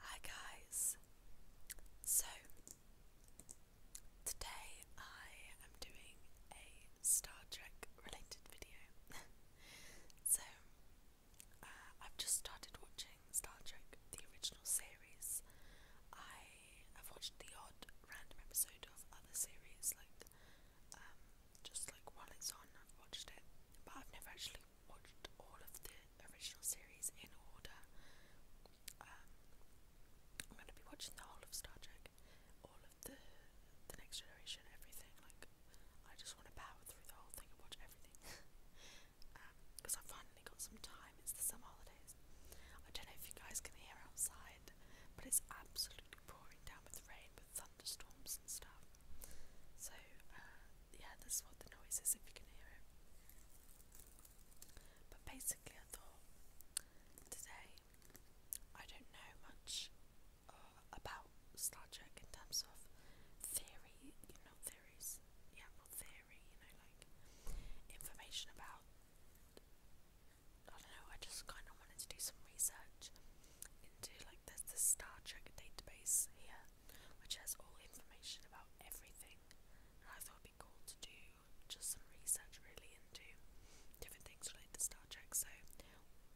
Hi guys! So, today I am doing a Star Trek related video. so, uh, I've just started watching Star Trek, the original series. I have watched the odd random episode of other series, like um, just like while it's on, I've watched it, but I've never actually watched all of the original series in order. Um, I'm gonna be watching the whole of Star Trek, all of the the Next Generation, everything. Like, I just want to power through the whole thing and watch everything. because um, I finally got some time. It's the summer holidays. I don't know if you guys can hear outside, but it's absolutely pouring down with rain, with thunderstorms and stuff. So, uh, yeah, this is what the noise is if you can hear it. But basically, I thought today I don't know much uh, about Star Trek in terms of theory, you know, theories, yeah, well, theory, you know, like information about. I don't know, I just kind of wanted to do some research into like there's this Star Trek database here which has all information about everything. And I thought it'd be cool to do just some research really into different things related to Star Trek. So,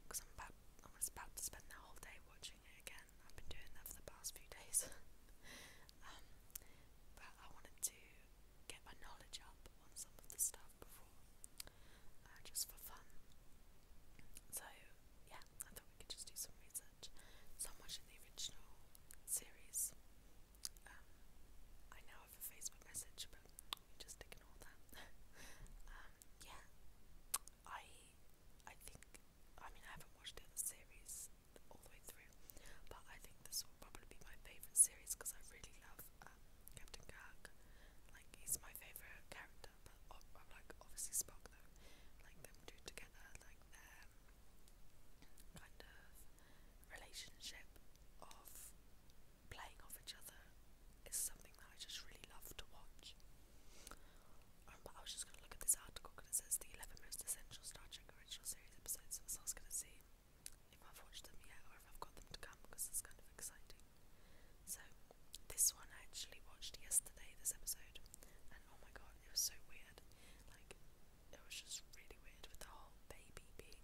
because I'm about, I was about to spend the whole day watching it again. I've been doing that for the past few days. um, but I wanted to get my knowledge up on some of the stuff before, uh, just for fun. So, yeah, I thought we could just do some research much, so much in the original series. Um, I now have a Facebook message, but we just ignore that. um, yeah, I, I think, I mean, I haven't watched the other series all the way through, but I think this will probably be my favourite series because I really love um, Captain Kirk. Like, he's my favourite character, but I'm like, obviously Spock though. Like, them two together, like, their kind of relationship of playing off each other is something that I just really love to watch. Um, I was just going to look at this article because it says the 11 most essential Star Trek original series episodes, so I was going to see if I've watched them yet or if I've got them to come because it's kind of exciting. So, this one I actually watched yesterday, this episode, and oh my god, it was so weird like it was just really weird with the whole baby being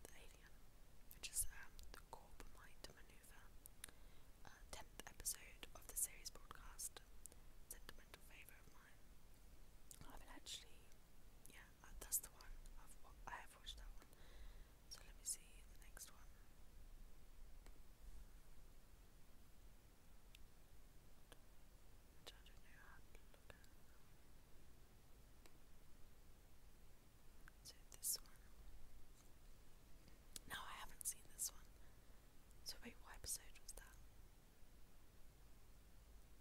the alien, which is um, the Corbomite maneuver. Uh, tenth episode of the series broadcast, sentimental favourite of mine. I have actually, yeah, uh, that's the one. I've I have watched that one. So let me see the next one. So No, I haven't seen this one. So wait, what episode was that?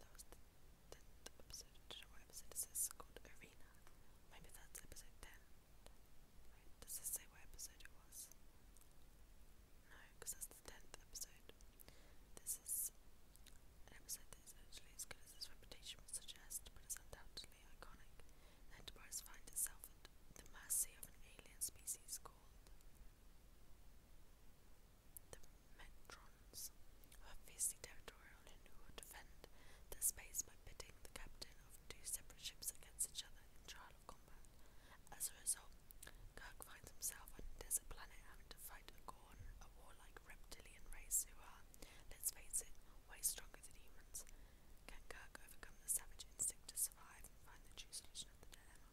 That was the episode. I don't know what episode this is called Arena. Maybe that's episode ten. does this say what episode it was? No, because that's the 10th episode. This is an episode that is actually as good as its reputation would suggest, but is undoubtedly iconic. Enterprise finds itself at the mercy of an alien species called the Metrons, who are fiercely territorial and who will defend their space by pitting the captain of two separate ships against each other in trial out of combat. As a result, Kirk finds himself on a desert planet having to fight a Gorn, a warlike reptilian race who are, let's face it, way stronger than humans. Can Kirk overcome the savage instinct to survive and find the true solution of the dilemma?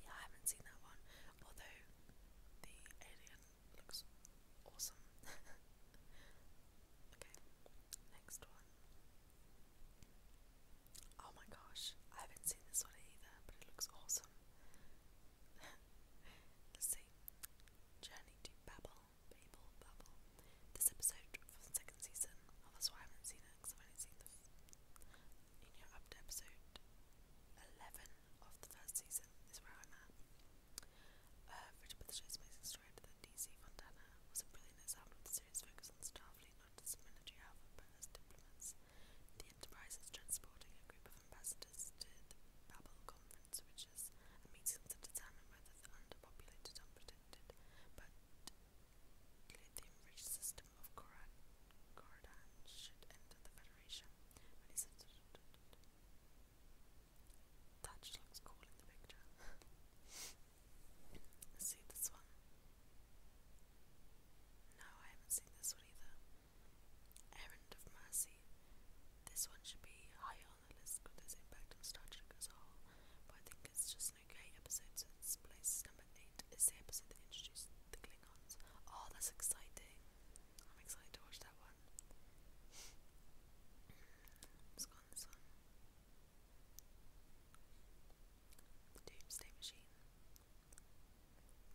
Yeah, I haven't seen that one, although the alien looks awesome. okay, next one. Oh my gosh, I haven't seen this one either, but it looks awesome. Let's see. Journey to Babel, Babel, Babel. This episode for the second season. that's why I haven't seen it, because i only seen the. You know, up to episode 11 of the first season is where I'm at. Uh, Richard with amazing story DC Fontana was a brilliant example of the series' focus on Starfleet, not as military outfit, but as diplomats. The Enterprise is transporting a group of ambassadors to the Babel Conference, which is a meeting to determine whether the underpopulated, unprotected, but lithium-rich system of Koran, should enter the Federation. When he looks cool in the picture. See this one? No, I haven't seen this one either. Errand of Mercy. This one should be higher on the list because its impact on Star Trek as a but I think it's just an okay episode, so this placed number 8. is the episode that introduced the Klingons. Oh, that's exciting. I'm excited to watch that one. Hmm, this one. Doomsday Machine.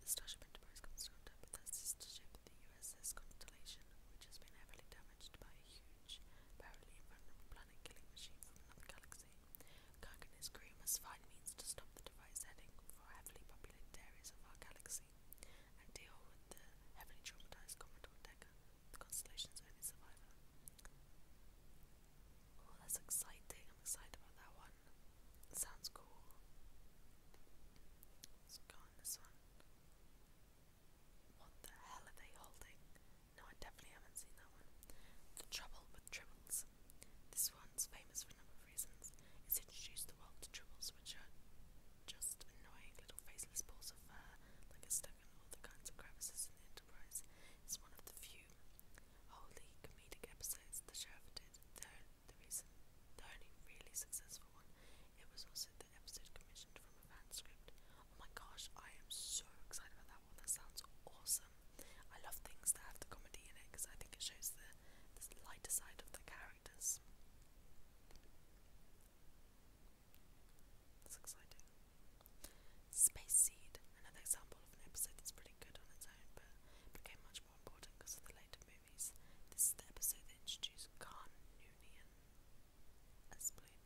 The Starship Enterprise comes swamped up with her sister ship, the USS Constellation, which has been heavily damaged by a huge, apparently invulnerable planet-killing machine from another galaxy. Kirk and his crew must find means to stop the device heading for heavily populated areas of our galaxy, and deal with the heavily traumatized Commodore Decker, the Constellation's only survivor. Oh, that's exciting. I'm excited about that one. sounds cool. Let's go on this one. What the hell are they holding? No, I definitely haven't seen that one. The Trouble with Tribbles. This one's famous for a number of reasons. It's introduced the world to tribbles, which are just annoying little faceless balls of fur, like stuck in all the kinds of crevices in the Enterprise. It's one of the few few comedic episodes the show ever did. The, the reason, the only really successful one, it was also the episode commissioned from a fan script. Oh my gosh, I am so excited about that one. That sounds awesome. I love things that have the comedy in it because I think it shows the, the lighter side of the characters. That's exciting. Space Seed, another example of an episode that's pretty good on its own, but became much more important because of the later movies. This is the episode that introduced Khan Noonian, as played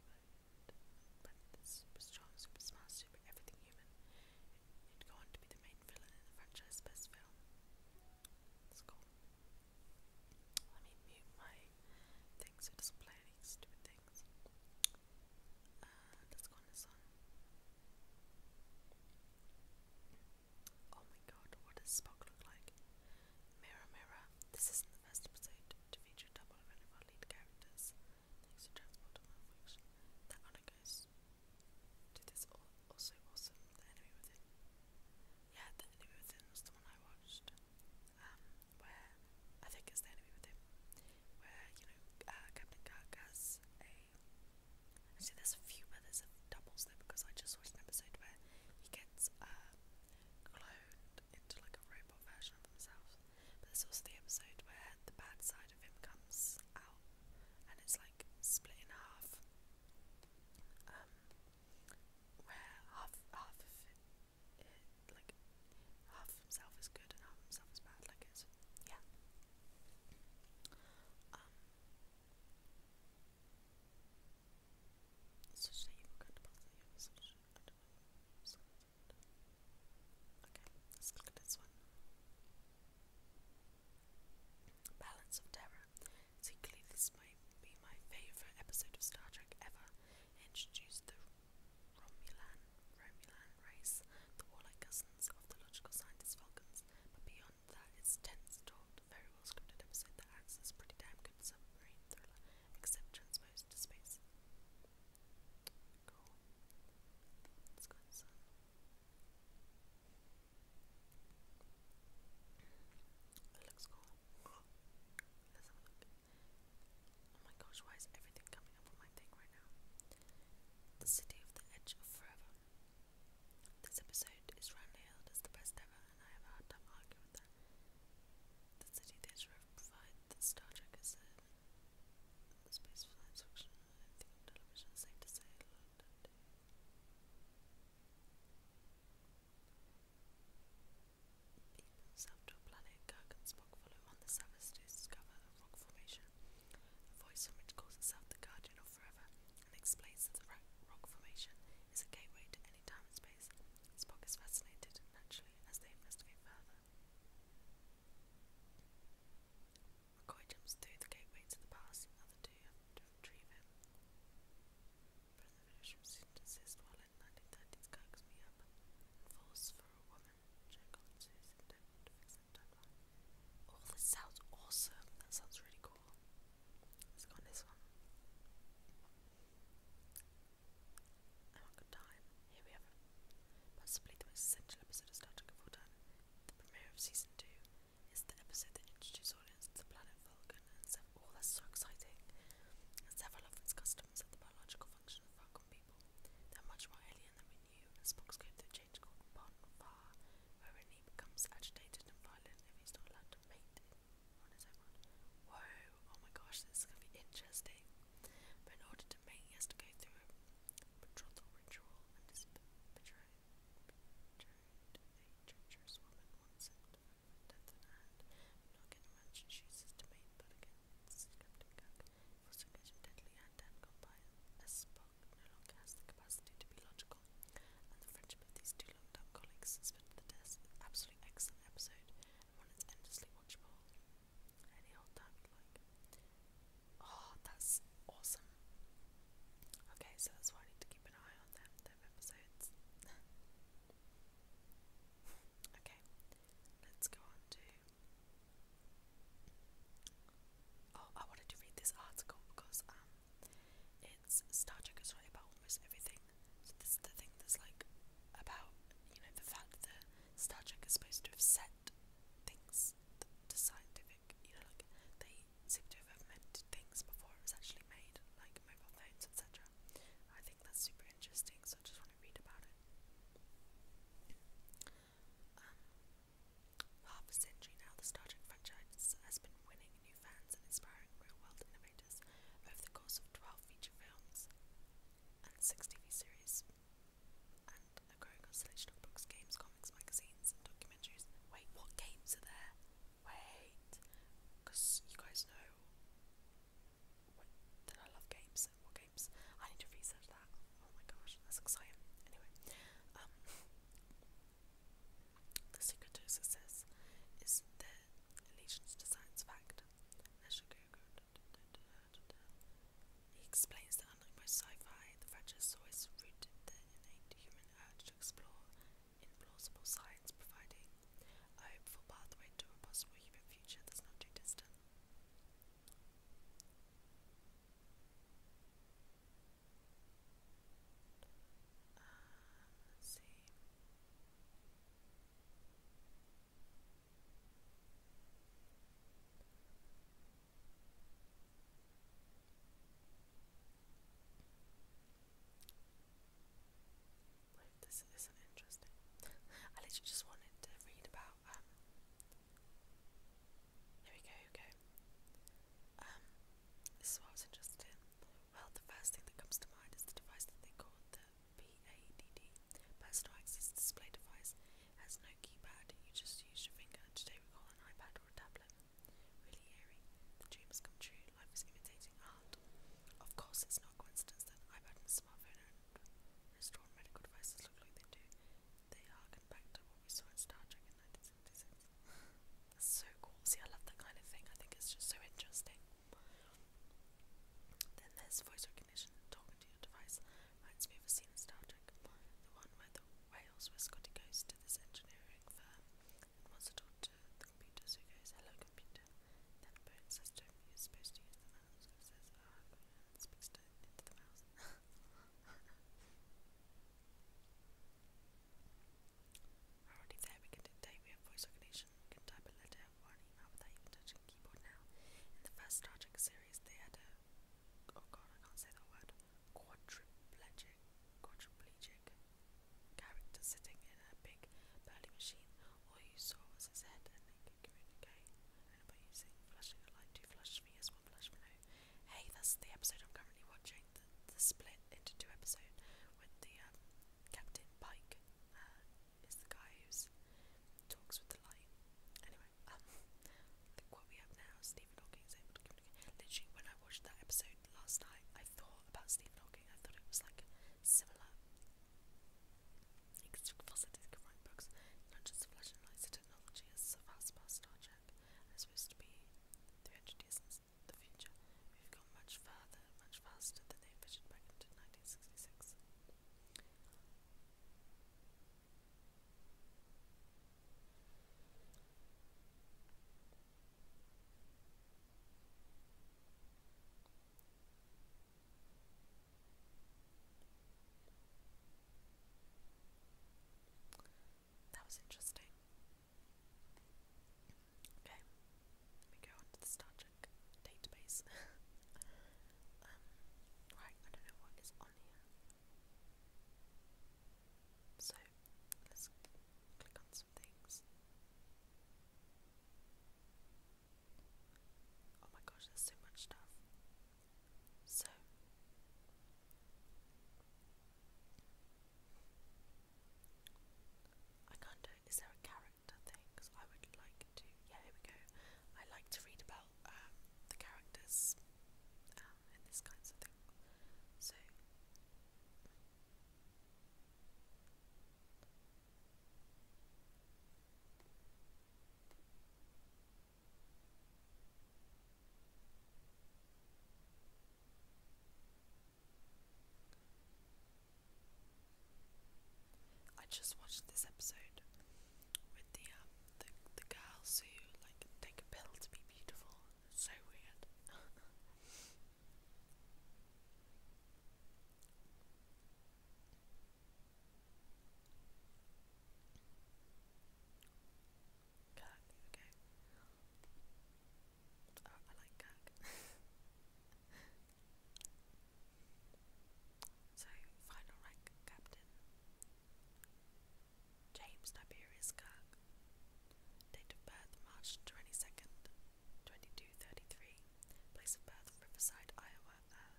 by, super strong, super smart, super everything human, who'd go on to be the main villain in the franchise best film. That's cool. Let me mute my thing it doesn't stupid things. Uh, Oh my god, what does Spock look like? Mirror, mirror, this isn't the first episode to feature double of lead characters, thanks to transport malfunction. That honor goes to this also awesome The Enemy Within. Yeah, The Enemy Within was the one I watched, um, where, I think it's The Enemy Within, where, you know, Captain Kirk has a Actually, there's a few where there's a doubles there because I just watched an episode where he gets uh, cloned into like a robot version of himself. But there's also the episode where the bad side of him comes out and it's like split in half. Um, where half half of it, it like half of himself is good and half of himself is bad. Like it's yeah, Okay, let's look this one. Balance of Terror. Secretly, this might be my favorite episode of Star Trek ever. introduced the Romulan Romulan race, the warlike cousins of the logical scientists Falcons, but beyond that, it's tense, taut, very well scripted episode that acts as pretty damn good submarine thriller, except transposed to space. It looks cool. Oh my gosh, why is everything coming up on my thing right now? The City of the Edge of Forever. This episode is roundly hailed as the best ever, and I have a hard time arguing with that. The City Theatre have provided that Star Trek is a um, space for television, safe to say, People himself planet, Kirk and follow on the surface to discover rock formation a voice from which calls itself the guardian of forever and explains that the rock formation is a gateway to any time and space. Spock is fascinated, naturally, as they investigate further. McCoy jumps through the gateway to the past, and the two have to retrieve him. But the village while in 1930s Kirk me up and for a woman. Jack that sounds awesome. That sounds really cool. Let's go on this one. I want good time. Here we have Possibly the most essential episode of Star Trek of all The premiere of season two is the episode that introduces audience to the planet Vulcan and several. that's so exciting! several of its customs and the biological function of Vulcan people. They're much more alien than we new Spock's going through a change called Bonfire, wherein he becomes agitated and violent if he's not allowed to mate Whoa, oh my gosh, this is going to be interesting. But in order to mate, he has to go through a betrothal ritual and is betrayed, betrayed a treacherous woman once and death in hand. mate, but again, it's going to was immediately and then compiled, as Spock no longer has the capacity to be logical, and the friendship of these two longtime colleagues has been the test an absolutely excellent episode, and one that's endlessly watchable any old time you like. Oh, that's awesome. Okay, so that's why I need to keep an eye on them, them episodes. okay, let's go on to Oh, I wanted to read this article because um, it's Star Trek is really about almost everything. So this is the thing that's like about you know the fact that Star Trek is supposed to have set things to scientific. You know, like they seem to have invented things before it was actually made, like mobile phones, etc. I think that's super interesting. So I just want to read about it. Um, half a century now, the Star Trek franchise has been winning new fans and inspiring real-world innovators over the course of 12 feature films 6 TV series, and a growing constellation of books, games, comics, magazines, and documentaries. Wait, what games are there? Wait, because you guys know that I love games. What games? I need to research that. Oh my gosh, that's exciting. Anyway, um, the secret to success is the allegiance to science fact. He explains that unlike most sci-fi, the franchise always rooted the innate human urge to explore implausible science, providing a hopeful pathway to a possible human future that's not too distant. Uh, let this isn't interesting. I literally just wanted to read about um, here we go, okay. Um, this is what I was interested in. Well, the first thing that comes to mind is the device that they call the PADD, Personal Access Display Device. has no keypad, you just use your finger. Today we call an iPad or a tablet. Really eerie. The dream has come true. Life is imitating Of course, it's not coincidence that iPad and smartphone and restaurant medical devices look like they do. They harken back to what we saw in Star Trek in that's so cool. See, I love that kind of thing. I think it's just so interesting. Then there's voice recognition and talking to your device. Reminds me of a scene in Star Trek, the one where the whales whisk Scotty goes to this engineering firm and wants to talk to the computer, so he goes, hello computer. Then Bone says to him, you're supposed to use the mouse, so he says, oh, and speaks to, into the mouse. Already there, we can dictate, we have voice recognition, we can type a letter or an email without touching keyboard now. In the first Star Trek series, they had a, oh god, I can't say that word, quadriplegic, quadriplegic character sitting in a big burly machine. All you saw was his head and they could communicate, by using flashing a light to flash me as on Flash Below. Hey, that's the episode I'm currently watching. The, split into two episodes with the um, Captain Pike uh, is the guy who talks with the light. Anyway, um, I what we have now is Stephen Hawking is able to communicate. Literally, when I watched that episode last night, I thought about Stephen Hawking. I thought it was like similar. Because Fossett can write books, not just Flash and The technology has surpassed past Star Trek are supposed to be 300 years in the future. We've gone much further, much faster than they envisioned back into 1966. That was interesting. Okay, let me go on the Star Trek database. Um, right, I don't know what is on here. So, let's click on some things. Oh my gosh, there's so much stuff. So, I can't do it. Is there a character thing? Because I would like to. Yeah, here we go. I like to read about um, the characters um, this kinds of thing. So. I just watched this episode with um, the the girls who like take a pill to be beautiful. so weird. Kirk, Oh, I like Kirk. so, final rank captain. James Tiberius Kirk. Date of birth March 22nd, 2233. Place of birth Riverside, Iowa, uh,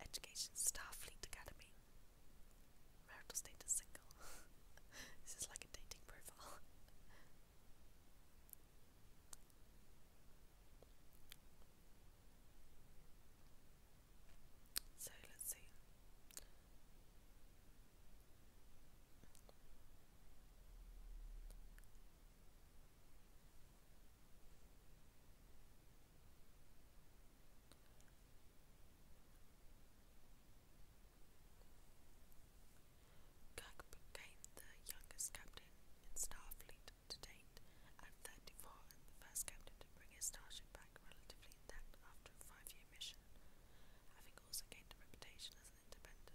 Education Starfleet Academy. Marital status single. this is like a dating profile. so let's see. Kirk became the youngest captain in Starfleet to date at 34 and the first captain to bring his starship back relatively intact after a five-year mission, having also gained a reputation as an independent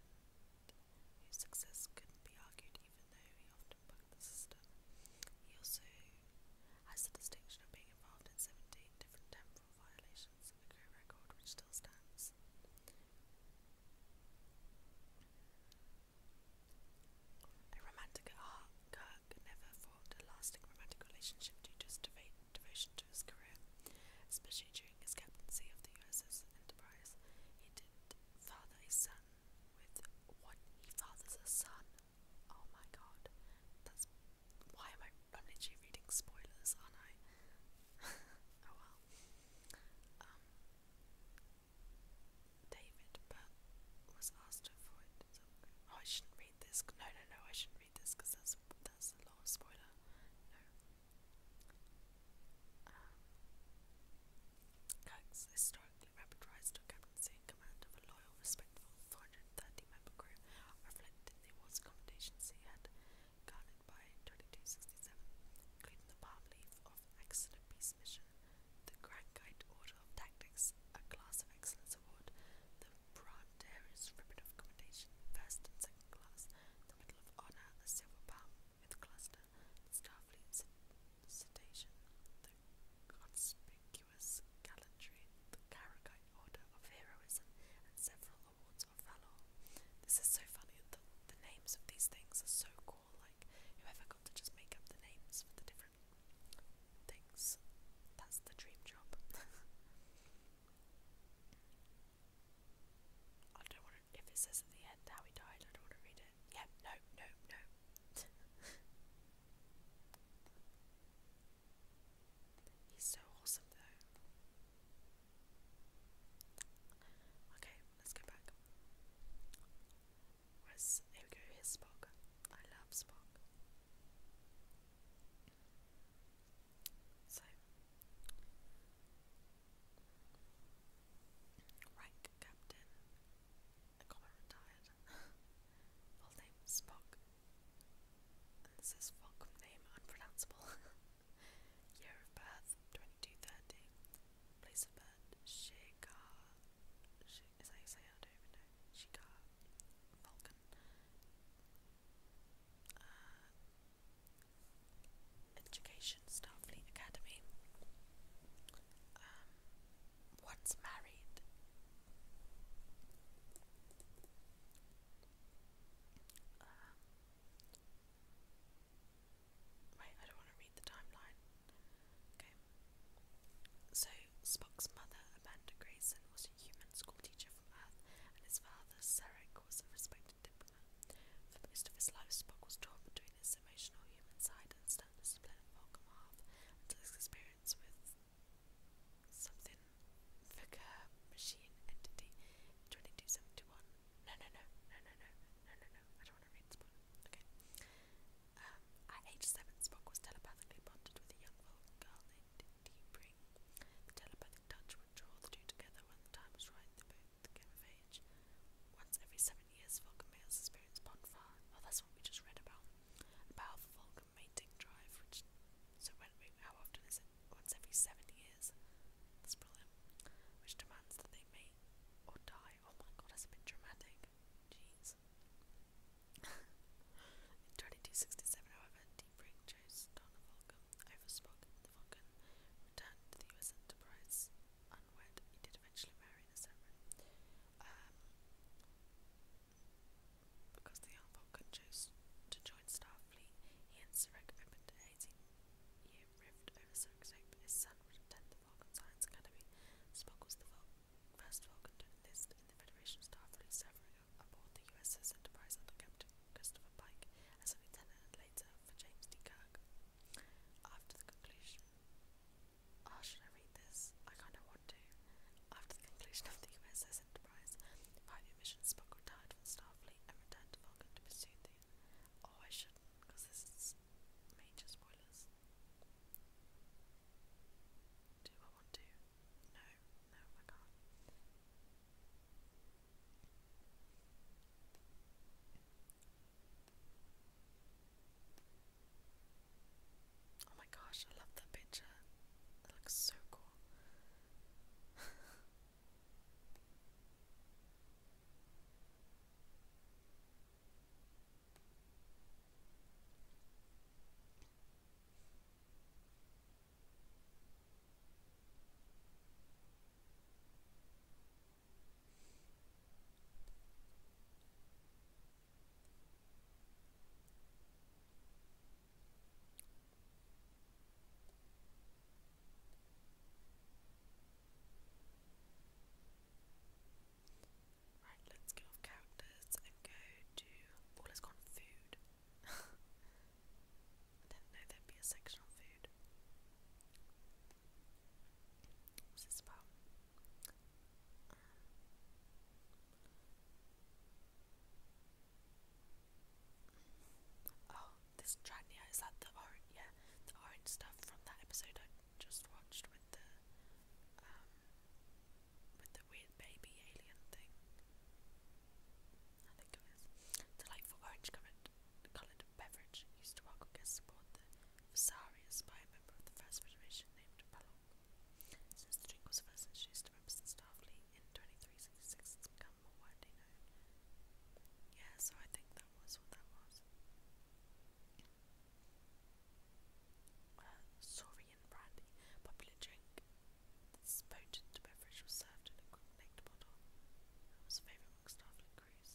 whose success couldn't be argued even though he often bucked the system. He also has the distinction of being involved in 17 different temporal violations, a career record which still stands. A romantic at heart, Kirk never formed a lasting romantic relationship due to his devotion to his career, especially during his captaincy of the USS Enterprise. He did father a son with what he fathers a son Oh my god. That's why am I I'm literally reading spoilers, aren't I? oh well. Um David was asked to avoid oh, I shouldn't read this no no no I shouldn't read this because that's that's a lot of spoiler. No. Um historically rapid rise to captaincy in command of a loyal, respected 430 member group reflected the awards accommodations he had garnered by 2267, including the palm leaf of Excellent Peace Mission, the Grand Guide Order of Tactics, a Class of Excellence Award, the Branderis Ribbon of Commendation, First and Second Class, the Medal of Honor, a Silver Palm with Cluster, the Starfleet Citation, the Conspicuous virtuous gallantry, the Karagite Order of Heroism, and several awards of valor. This is so funny, the names of these things are so cool, like, whoever got to just make up the names for the different things. That's the dream job. I don't want to, if it says at the end how he died, I don't want to read it. Yeah, no, no, no. He's so awesome though. Okay, let's go back. Where's here we Spock. I love Spock. So rank captain. I got my retired. full name Spock. this is Spock name unpronounceable. Year of birth, 2230. Place of birth, Shigar. is that you say? I don't even know. Shigar. Vulcan. Uh, education, Starfleet Academy. Um, once married. Um, so, Spock's mother, Amanda Grayson, was a human schoolteacher from Earth, and his father, Sarek, was a respected diplomat. For most of his life, Spock was torn between his emotional human side and Stannis' planet Vulcan half, until his experience with something Vicar Machine Entity 2271. No, no, no, no, no, no, no, no, no. I don't want to read Spock. Okay. Um, at age seven, was telepathically bonded with a young girl The telepathic touch would draw the two together when the time was right. They both came of age. Once every seven years, Vulcan males experience bonfire. Oh, that's what we just read about. A Vulcan mating drive, so when we, how often is it? Once every seven years. That's Which demands that they mate or die. Oh my god, that's a bit dramatic. Jeez. in 2267, however, Deep chose Donna Vulcan over Spock. The Vulcan returned to the US Enterprise unwed. He did eventually marry in a um, because the young Vulcan chose to join Starfleet, he and Sarek opened 18-year rift over Sarek's hope his son would attend the Vulcan Science Academy. Spock was the first Vulcan to enlist in the Federation Starfleet, serving aboard the USS Enterprise under Captain Christopher Pike as a lieutenant later for James D. Kirk. After the conclusion, oh, should I read this? I kind of want to. After the conclusion of the USS Enterprise, five mission, Spock retired from Starfleet and returned Vulcan to pursue the. Oh, shouldn't, because this is major spoilers. Do No, no, I can't. Oh my gosh, I love that picture. It looks so cool. Right, let's get off characters and go to. Oh, let's go food. I there'd be a section on food. What's this about? Oh, this Dragnia, is that the orange, yeah, the orange stuff from that episode I just watched with the, um, with the weird baby alien thing. I think it is. Delightful orange coloured, coloured beverage used to welcome guests aboard the Vesarius by a member of the First Federation named Palor. Since the drink was first introduced to Robinson Starfleet in 2366, it's become more widely known. Yeah, so I think that was what that was. Uh, Saurian brandy, popular drink. This potent beverage was served in a necked bottle. It was a favourite among Starfleet crews.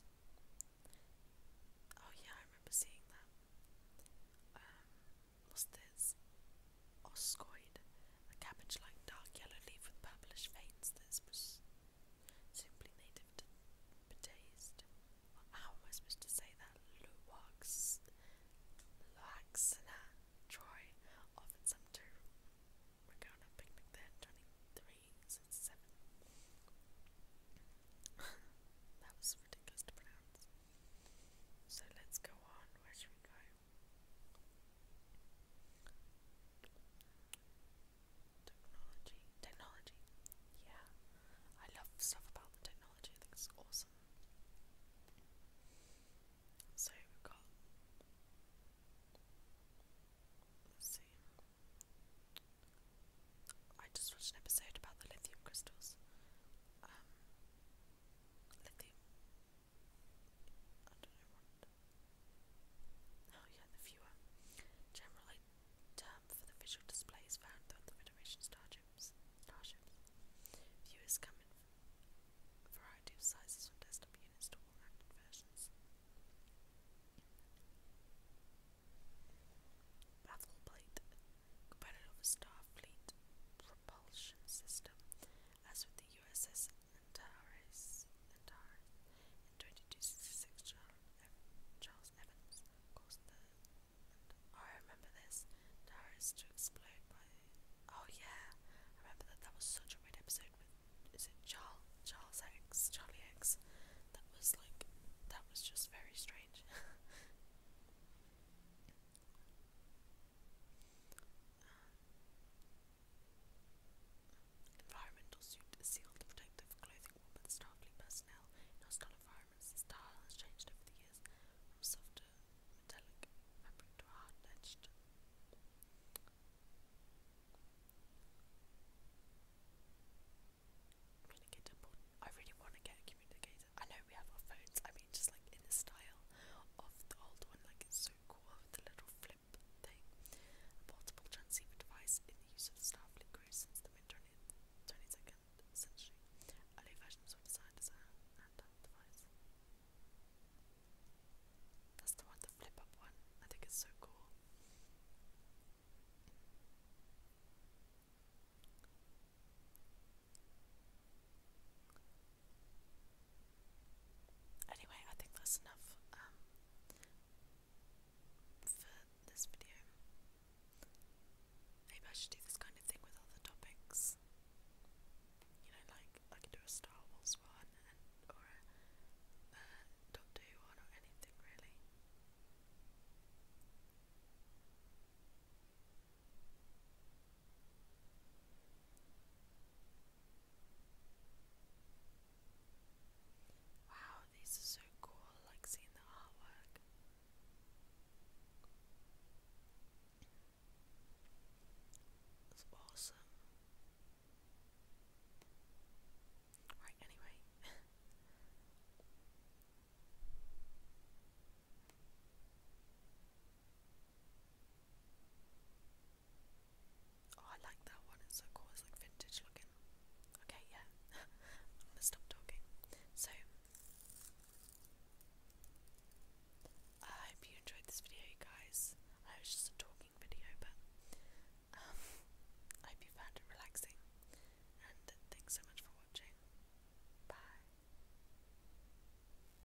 Oh yeah, I remember seeing that. Um, this oscoid, a cabbage-like dark yellow leaf with purplish veins this was simply native to Bataste. How am I supposed to say that? Luwax, Luaxana, Troy, often some we're going on a picnic there 23, 7. that was ridiculous to pronounce. So let's go on, where should we go? Technology. Yeah. I love stuff about the technology. I think it's awesome. So we got let's see. I just watched an episode about the lithium crystals. Um lithium Oh yeah, the viewer. Generally, term for the visual displays found throughout the Federation starships. Starships. Viewers come in variety of sizes from desktop units to all versions. Battle plate, component of a Starfleet propulsion system, as with the USS Antares, in 2266, Charles Evans caused I remember this. Antares to explode by. Oh yeah, I remember that. That was such a weird episode Is it Charles? Charles X? Charlie X? That was like. That was just very strange. Um, environmental suit sealed protective clothing worn by the starkly personnel in hostile environments. The style has changed over the years from softer metallic fabric to hard edged. Communicator I really want to get a communicator. I know we have our phones. I mean, just like in the style of the old one, like it's so cool the little flip thing. portable transceiver device in use of Starfleet crew since the mid 22nd century. Early versions were designed as a handheld device. That's the one, the flip up one. I think it's so cool. Anyway, I think that's enough um, for this video. Maybe I should do this kind of thing with other topics. You know, like I could do a Star Wars one, or a Doctor Who one, or anything really. Wow, these are so cool, like seeing the artwork. That's awesome. Right, anyway. Oh, I like that one. It's so cool. It's like vintage looking. Okay, yeah. I'm gonna stop talking. So, I hope you enjoyed this video, guys. I was just a talking video, but um, I hope you found it relaxing. And thanks so much for watching. Bye.